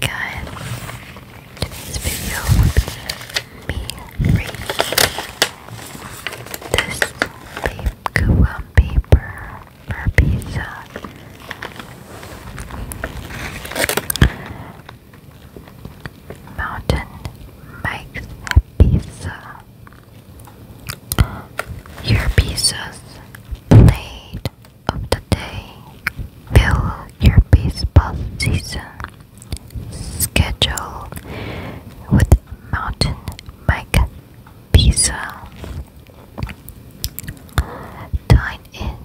guys, today's video would be me this Kuwa paper for pizza. Mountain makes pizza. Your pieces played of the day fill your baseball season schedule with mountain bike pizza dine in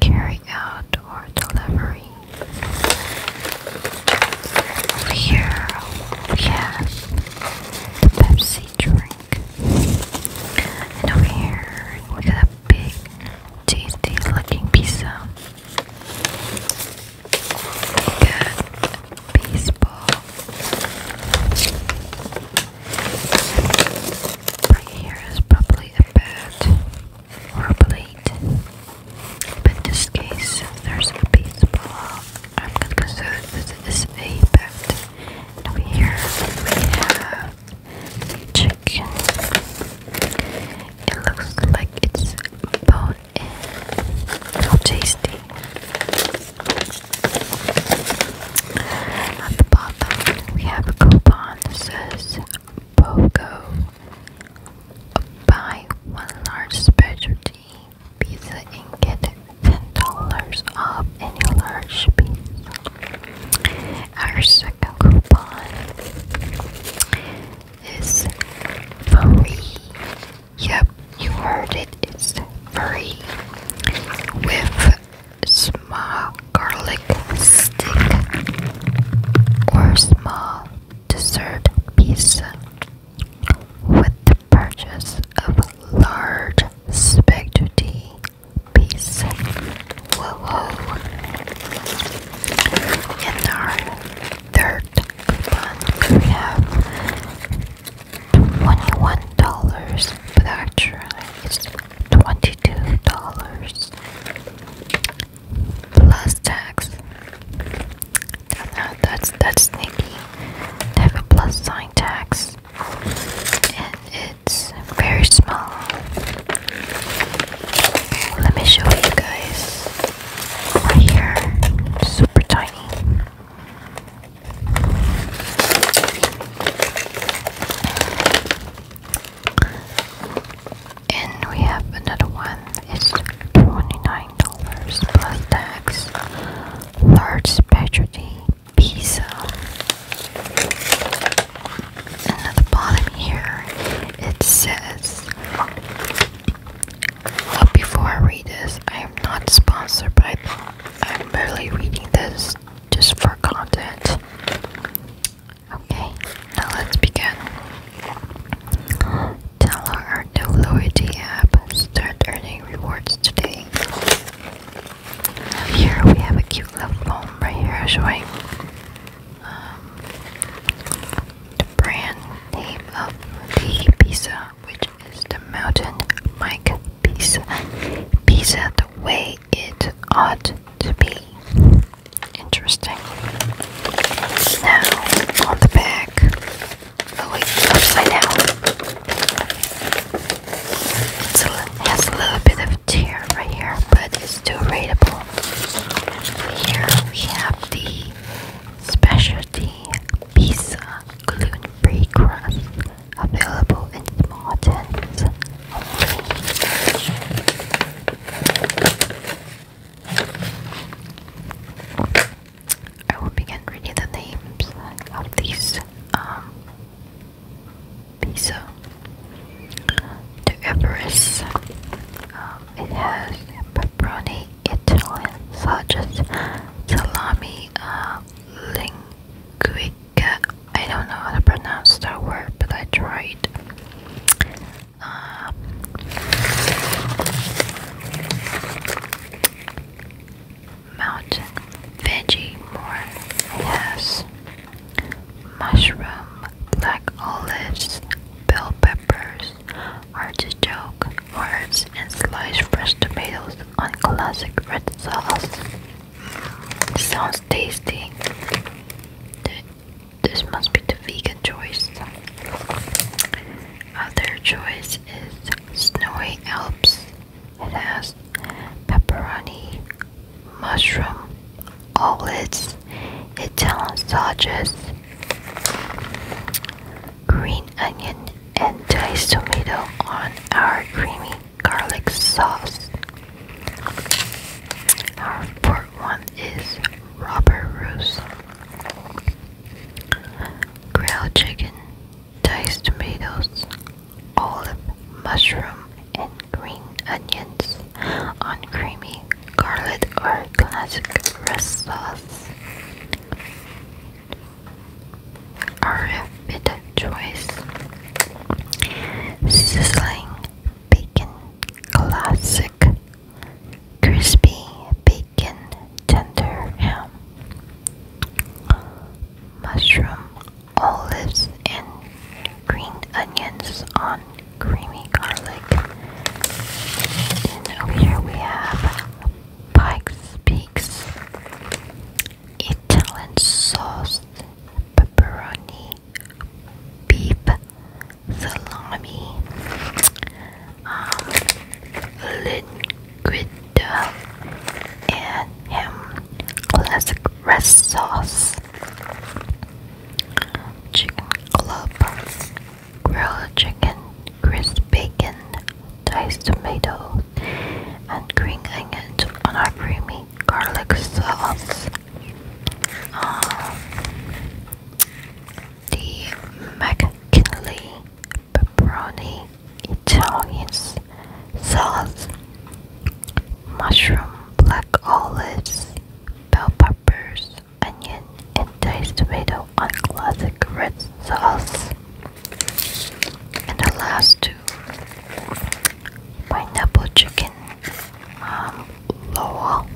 carry out or delivery here we have the Pepsi drink drink. And over here, we got a big, tasty looking pizza. We got a baseball. Right here is probably a bat or a plate. But in this case, there's a baseball. I'm gonna consider this is a bat. And over here we have chicken. It looks like it's bone in. How tasty. At the bottom, we have a coupon that says BOGO. Buy one large specialty pizza and get $10 off any large piece. Our second coupon is free. Yep, you heard it, it's free. With small garlic stick or small dessert pizza with the purchase of large spaghetti piece. Whoa, whoa. our third coupon, we have $21, but actually it's $22 plus tax. That's, that's, that's sneaky. have a plus sign tax and it's very small. Let me show you guys right here, super tiny. And we have another one, it's $29 plus tax large specialty pizza. And at the bottom here, it says. But oh, before I read this, I am not sponsored, but I, I'm barely reading this just for content. Okay, now let's begin. Tell our new loyalty app, start earning many rewards today. Um, here we have a cute little poem right here showing um, the brand name of the pizza, which is the Mountain Mike Pizza. Pizza the way it ought to be. Interesting. Now, on the back, Oh wait, it's upside down. a little bit of tear right here, but it's still readable. Here we have the specialty pizza gluten-free crust available in small tins. I will begin reading the names of these um, pizza. The Everest, um, it has pepperoni Italian sausages, salami, uh, linguica. I don't know how to pronounce that word, but I tried. Um, Mountain veggie more yes. Mushroom, black olives, bell peppers, artichoke, herbs, and sliced fresh tomatoes on classic red sauce. Sounds tasty. This must be the vegan choice. Other choice is Snowy Alps. It has pepperoni, mushroom, omelets, Italian sausages, green onion, and diced tomato on our creamy garlic sauce. Our fourth one is rubber roost grilled chicken, diced tomatoes, olive, mushroom, and green onions on creamy garlic or classic rest sauce. RF choice sizzling bacon classic crispy bacon tender ham, mushroom, olives, and green onions on creamy garlic. Then over here we have Pike's Peaks Italian sauce pepperoni beef salami, um, liquid and ham classic red sauce, chicken club, grilled chicken, crisp bacon, diced tomato, and green onions on our creamy garlic sauce. Um, the McKinley pepperoni Italian sauce, mushroom, black olives, bell peppers, onion, and diced tomato on classic red sauce. And the last two pineapple chicken um,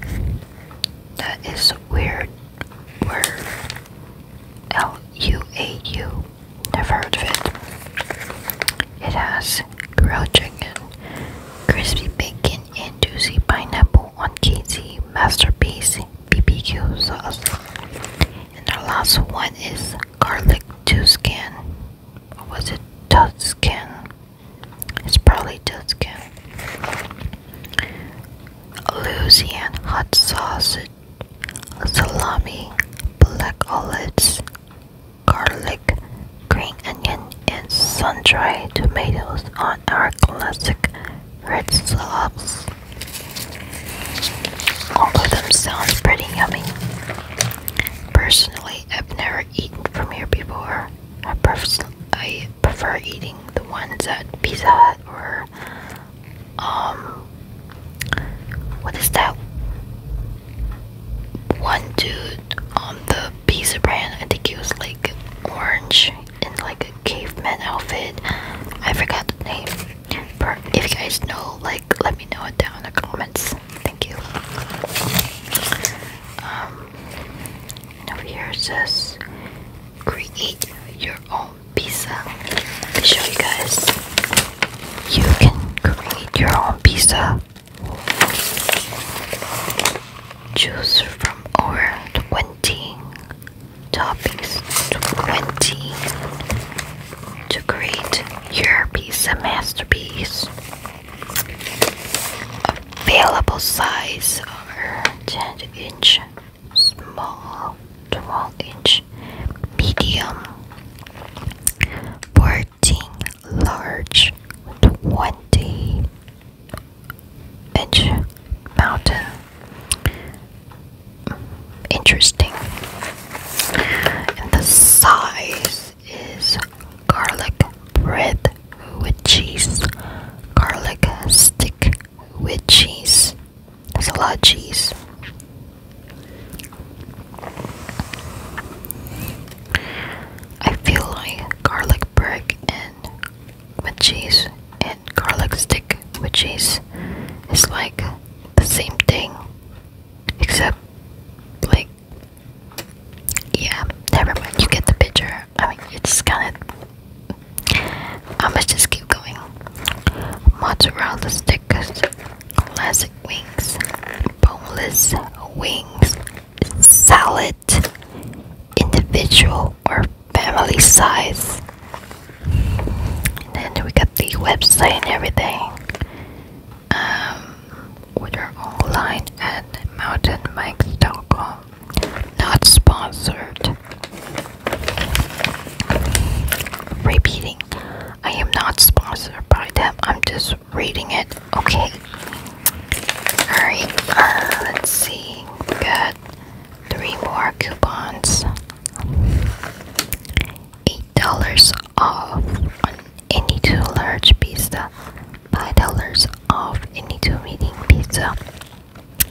That is weird word. L U A U. Never heard of it. It has grilled chicken, crispy bacon, and juicy pineapple on cheesy masterpiece BBQ sauce. And the last one is garlic Tuscan. What was it? Tuscan it's probably just good. Louisiana hot sausage, salami, black olives, garlic, green onion, and sun-dried tomatoes on our classic red sauce. All of them sound pretty yummy. Personally, I have never eaten from here before. I, prefer eating the ones at Pizza or um what is that one dude on the pizza brand? I think he was like orange in like a caveman outfit. I forgot the name. But if you guys know, like let me know it down in the comments. Thank you. Um, over here says create your own pizza. Let me show you guys. You can create your own pizza. Choose from over 20 toppings. 20 to create your pizza masterpiece available size are 10 inch small 12 inch medium 14 large 20 inch mountain interesting and the size is garlic bread with cheese, garlic stick with cheese. There's a lot of cheese. I feel like garlic bread and with cheese and garlic stick with cheese is like the same thing Except, like, yeah, never mind. You get the picture. I mean, it's kind of. I'ma just keep going. Mozzarella stickers, classic wings, boneless wings, salad, individual or family size. And then we got the website and everything um, online at mountainbikes.com. Not sponsored. Repeating, I am not sponsored by them. I'm just reading it. Okay. Alright, uh, let's see. Got three more coupons. $8 off any two large pizza, $5 off any two medium pizza.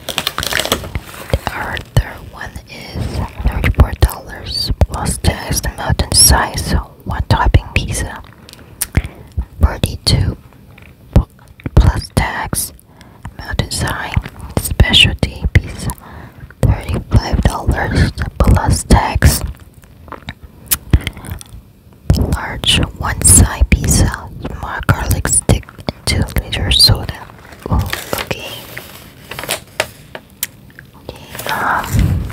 The other one is $34 plus tax mountain size one topping pizza. 42 plus tax mountain size specialty pizza $35 plus tax. Large one-side pizza, small garlic stick, 2 liter soda. Oh, okay. Um,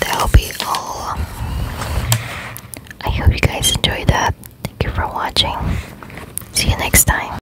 that'll be all. I hope you guys enjoyed that. Thank you for watching. See you next time.